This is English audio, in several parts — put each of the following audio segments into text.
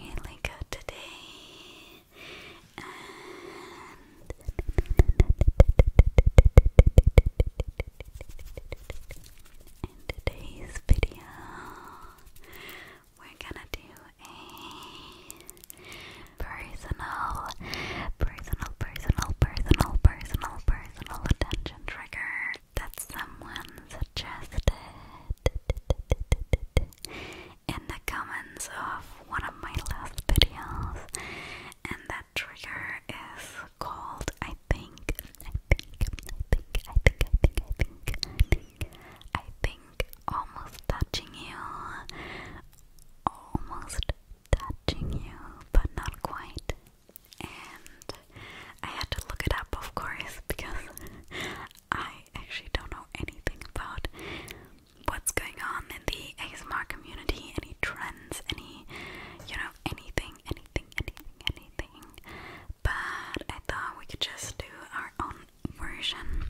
really good today. And in today's video, we're gonna do a personal, personal, personal, personal, personal, personal attention trigger that someone suggested in the comments of one of my last videos, and that trigger is called I think, I think, I think, I think, I think, I think, I think, I think, almost touching you, almost touching you, but not quite. And I had to look it up, of course, because I actually don't know anything about what's going on in the ASMR community, any trends, any, you know, anything, anything, anything, anything. But I thought we could just do our own version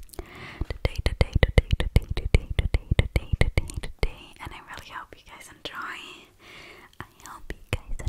today, today, today, today, today, today, today, today, today, and I really hope you guys enjoy. I hope you guys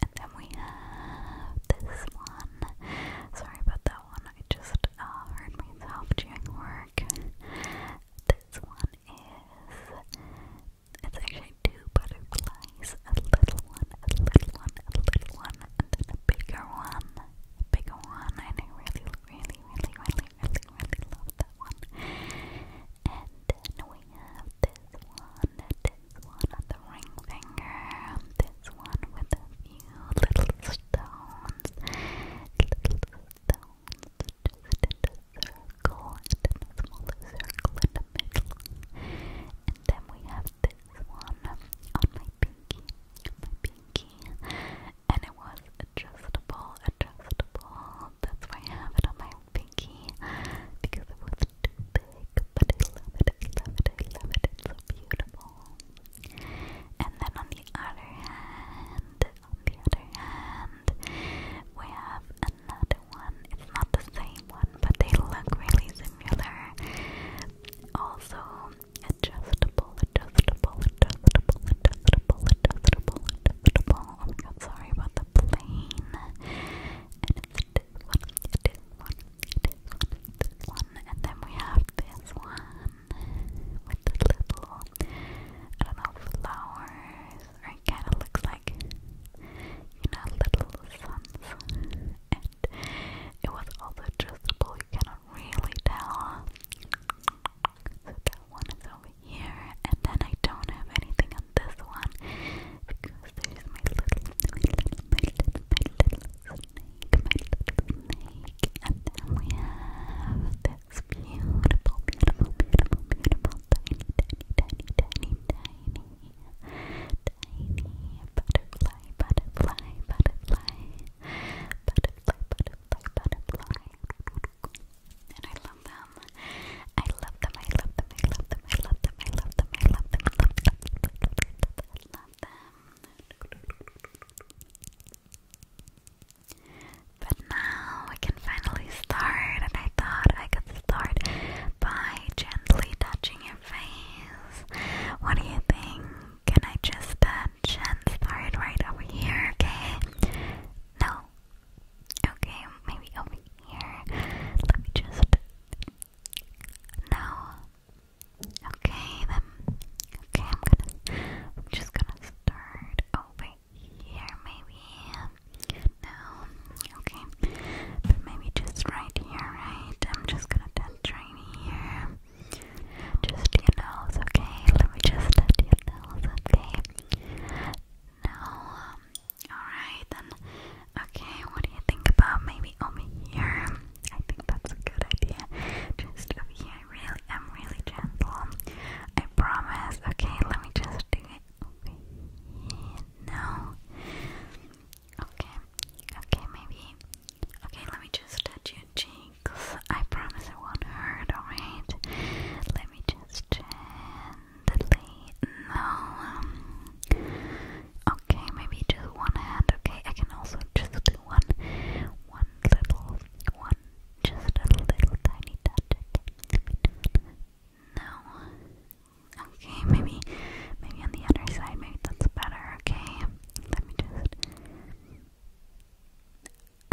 And then we have this one. Sorry about that one, I just uh, heard myself doing work. This one is. It's actually two butterflies a little one, a little one, a little one, and then a bigger one. bigger one, and I really, really, really, really, really, really love that one. And then we have this one, one on the ring finger, this one with a few little stones, little stones just a circle, and in a smaller circle in the middle. And then we have this one on my pinky, my pinky, and it was adjustable, adjustable, that's why I have it on my pinky, because it was but I love it, I love it, I love it, it's so beautiful. And then on the other hand, on the other hand, we have another one. It's not the same one, but they look really similar. Also, adjustable, adjustable, adjustable, adjustable, adjustable, adjustable. Oh my god, sorry about the plane this one, this one, this one, this one, and then we have this one with the little, I don't know, flowers, or kind of looks like, you know, little suns, and it was also adjustable, you cannot really tell, so that one is over here, and then I don't have anything on this one, you there's my little, my little, my little, my little snake, my little snake. And then we have this beautiful, beautiful, beautiful, beautiful tiny, tiny, tiny, tiny, tiny, tiny butterfly, butterfly, butterfly, butterfly, butterfly, butterfly. And I love them. I love them, I love them, I love them, I love them, I love them, I love them, I love them, I love them. But now we can finally start, and I thought I could start by gently touching your face. What do you think? Can I just touch and start right over here, okay? No. Okay, maybe over here. Let me just no. Okay, then. Okay, I'm gonna. I'm just gonna start over here, maybe. No. Okay. maybe just right here, right? I'm just gonna touch right here. Just your nose, okay? Let me just touch your okay? Now, um, Alright then. Okay, what do you think about maybe over here? I think that's a good idea. Just over here. I really am really gentle. I promise. Okay, let me just do it over here. No. Okay. Okay, maybe. Okay, let me just touch your cheeks. I promise it won't hurt, alright? Let me just no. Um, okay, maybe just one hand. Okay, I can also just do one, one little, one, just a little tiny touch. Okay. No. Okay, maybe, maybe on the other side. Maybe that's better. Okay, let me just.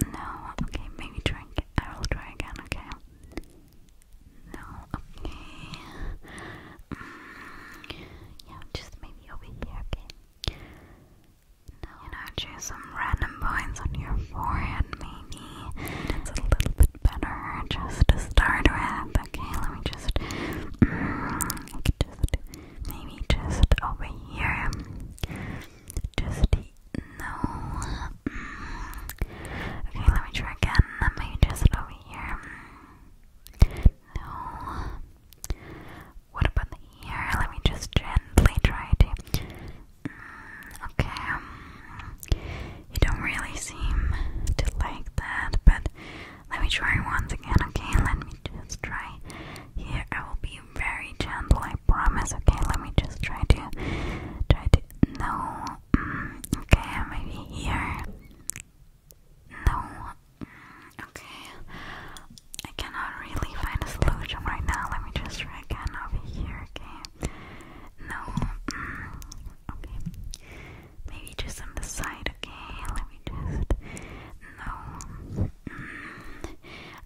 No. Okay, maybe try. I will try again. Okay. No, okay. Mm, yeah, just maybe over here, okay? No, you know, choose some random points on your forehead, maybe. It's a little bit better just to start with. Okay, let me just. I could just maybe just over here. Just no. Mm, Okay, let me try again. Let me just over here. No. What about the ear? Let me just gently try to. Mm, okay. You don't really seem to like that, but let me try once again, okay? Let me just try here. I will be very gentle, I promise, okay? Let me just try to. Try to. No. Mm, okay, maybe here. No. Mm, okay. I cannot really find a solution right now. Let me just try again over here, okay? No. Mm, okay. Maybe just on the side, okay? Let me just. No. Mm,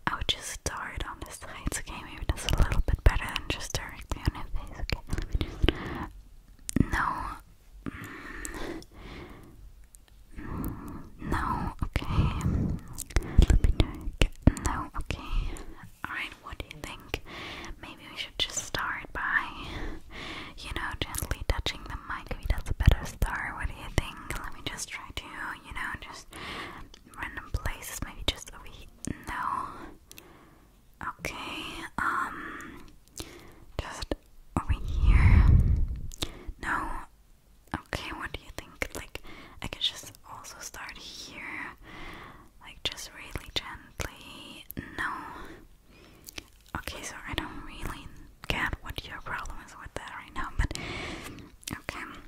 I'll just start on the sides, okay? Maybe that's a little bit better than just turning on her face. Okay, No. No. Okay. Let me check. No. Okay. All right. What do you think? Maybe we should just start by, you know, gently touching the mic. Maybe that's a better start. What do you think? Let me just try to, you know, just random places. Maybe just over here. No. Okay, um, just over here. No, okay, what do you think? Like, I could just also start here, like, just really gently. No, okay, so I don't really get what your problem is with that right now, but okay,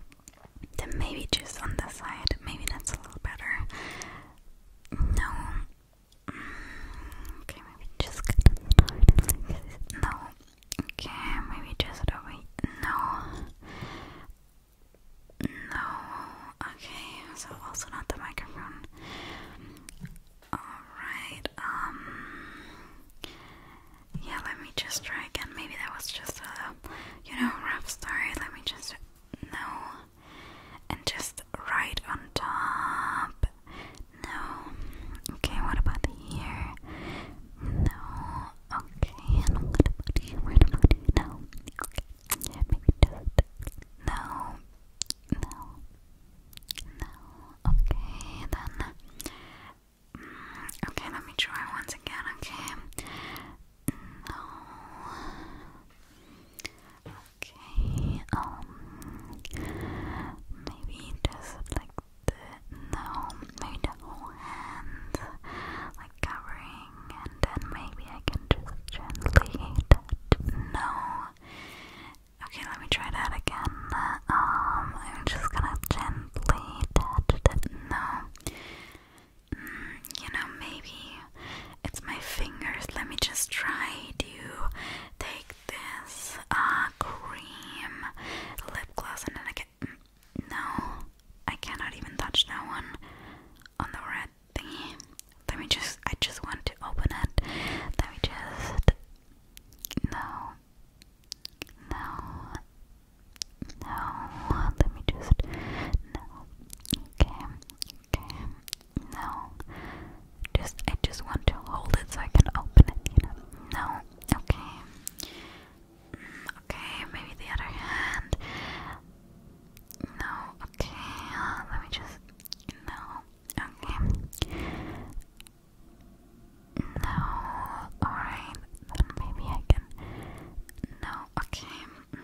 then maybe just on the side, maybe that's a little better. Mm, no. Okay, maybe just no. Okay, maybe just over. No. No. Okay, so also not the microphone. Alright, um. Yeah, let me just try again. Maybe that was just a, you know, rough start. Let me just. No and just right on top. No. Okay, what about here? No. Okay, and what about here? What about here? No. Okay. Yeah, maybe just no. No. No. Okay, then. Mm, okay, let me try once again. Okay. No. Okay. Um. Maybe just like the no. Maybe the whole hand, like covering, and then maybe I can just gently. That. No. Okay, let me try that again. Um, I'm just gonna gently touch no. Mm, you know, maybe it's my fingers. Let me just try to take this uh, cream lip gloss and then I get. Mm, no, I cannot even touch that one on the red thingy. Let me just. I just want to open it. Let me just. No. No. No, let me just. No. Okay. Okay. No. Just, I just want to hold it so I can open it, you know. No. Okay. Mm, okay, maybe the other hand. No. Okay. let me just. No. Okay. No. Alright. maybe I can. No. Okay. Mm.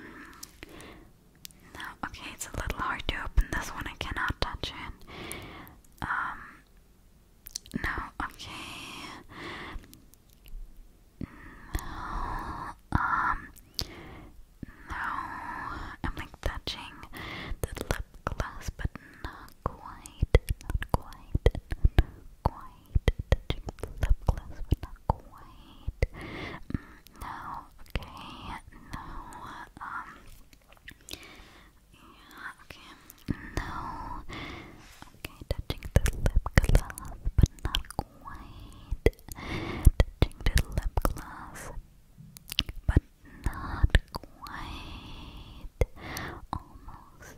No, okay, it's a little hard to open this one. I cannot touch it. Um, no, okay. No, um, no. I'm like touching the lip gloss, but not quite, not quite, quite touching the lip gloss, but not quite. no, okay, no, um, yeah, okay, no, okay, touching the lip gloss, but not quite. Touching the lip gloss, but not quite. Almost,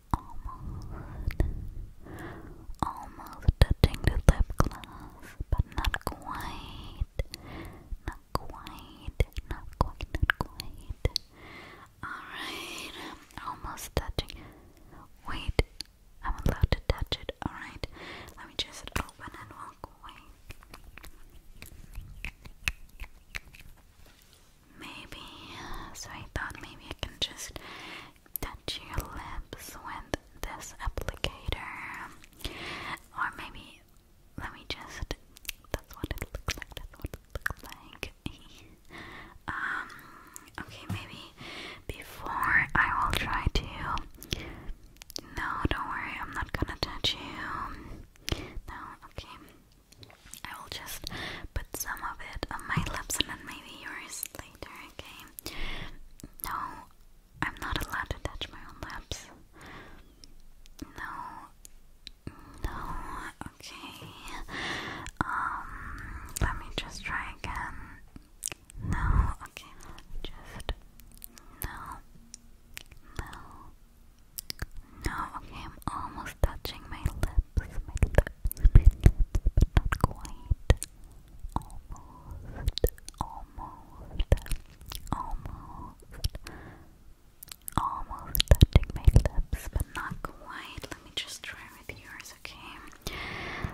almost, almost touching the lip gloss, but not quite, not quite, not quite, not quite. Alright, almost touching. Wait, I'm allowed to touch it. Alright, let me just open and walk away. Maybe, so I thought maybe I can just touch your lips with this applicator. Or maybe, let me just, that's what it looks like, that's what it looks like. um, okay, maybe before I will try to, no, don't worry, I'm not gonna touch you. No, okay. I will just put some of it on my lips and then maybe yours later, okay? No, I'm not allowed to touch my own lips. No, no, okay. Um, let me just try again. No, okay, just no, no. No, okay, I'm almost touching my lips, my lips, but not quite. Almost, almost, almost, almost touching my lips, but not quite. Let me just try with yours, okay?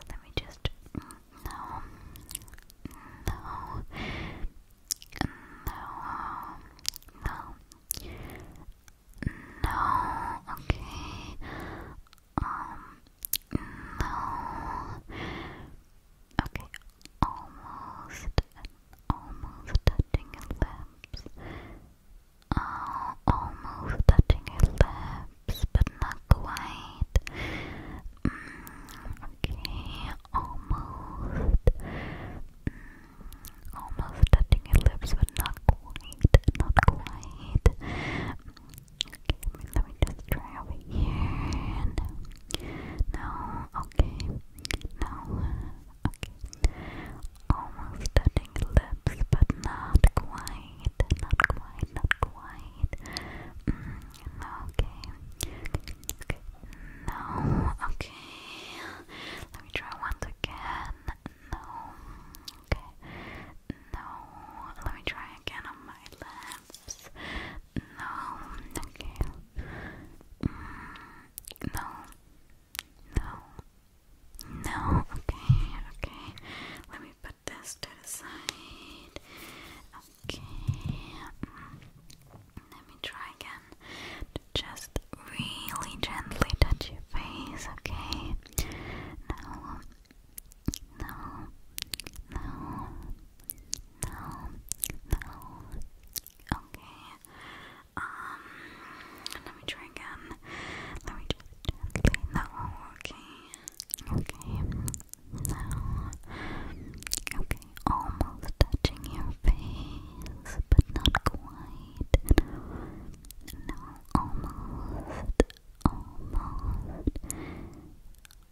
Let me just. No, no, no, no. No, okay. Um, no. Okay, almost, almost touching lips. Uh, almost touching lips, but not quite. Mm, okay, almost. Mm, almost touching lips, but not quite, not quite. Okay, let me just try over here. No, okay, no, okay. Almost touching lips, but not quite, not quite, not quite. Mm, no, okay, okay. No, okay. Let me try once again. No. Okay. No. Let me try again on my lips. No. Okay. Mm, no. No. No. Okay. Okay. Let me put this to the side. Okay. Mm, let me try again just really gently touch your face, okay? No, no, no, no, no. Okay. Um, let me try again. Let me just No, okay. Okay. No. Okay almost touching your face, but not quite. No, almost, almost,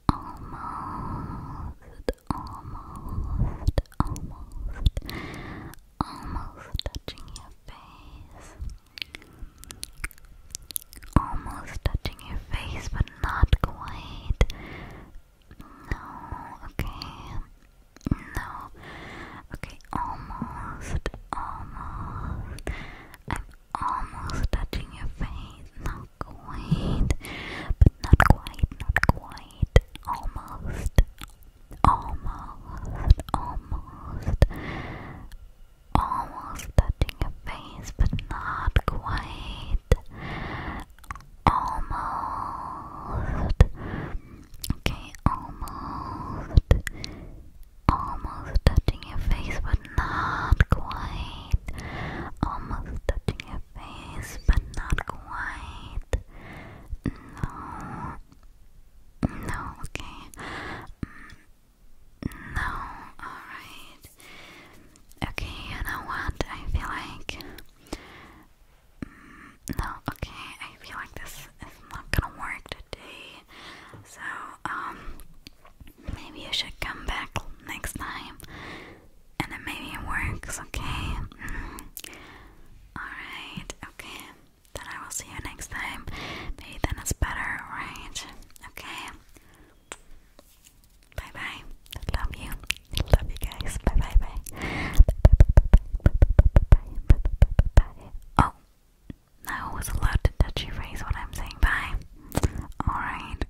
almost, almost, almost, almost touching your face. Almost touching your face, but not quite. No, okay. No. Okay, almost, almost. I'm almost touching your face. Not quite. But not quite, not quite. Almost. Almost. Almost. Almost touching your face, but not quite almost. Okay, almost. Almost touching your face, but not quite. Almost touching your face, but not quite. No. No, okay. No, alright. Okay, you know what? I feel like no, okay, I feel like this is not gonna work today. So, um, maybe I should come back next time and then maybe it works, okay? Mm-hmm. Alright, okay. Then I will see you next time. Maybe then it's better, right? Okay. Bye bye. Love you. Love you guys. Bye bye bye. Oh, I was allowed to touch your face when I'm saying bye. Alright.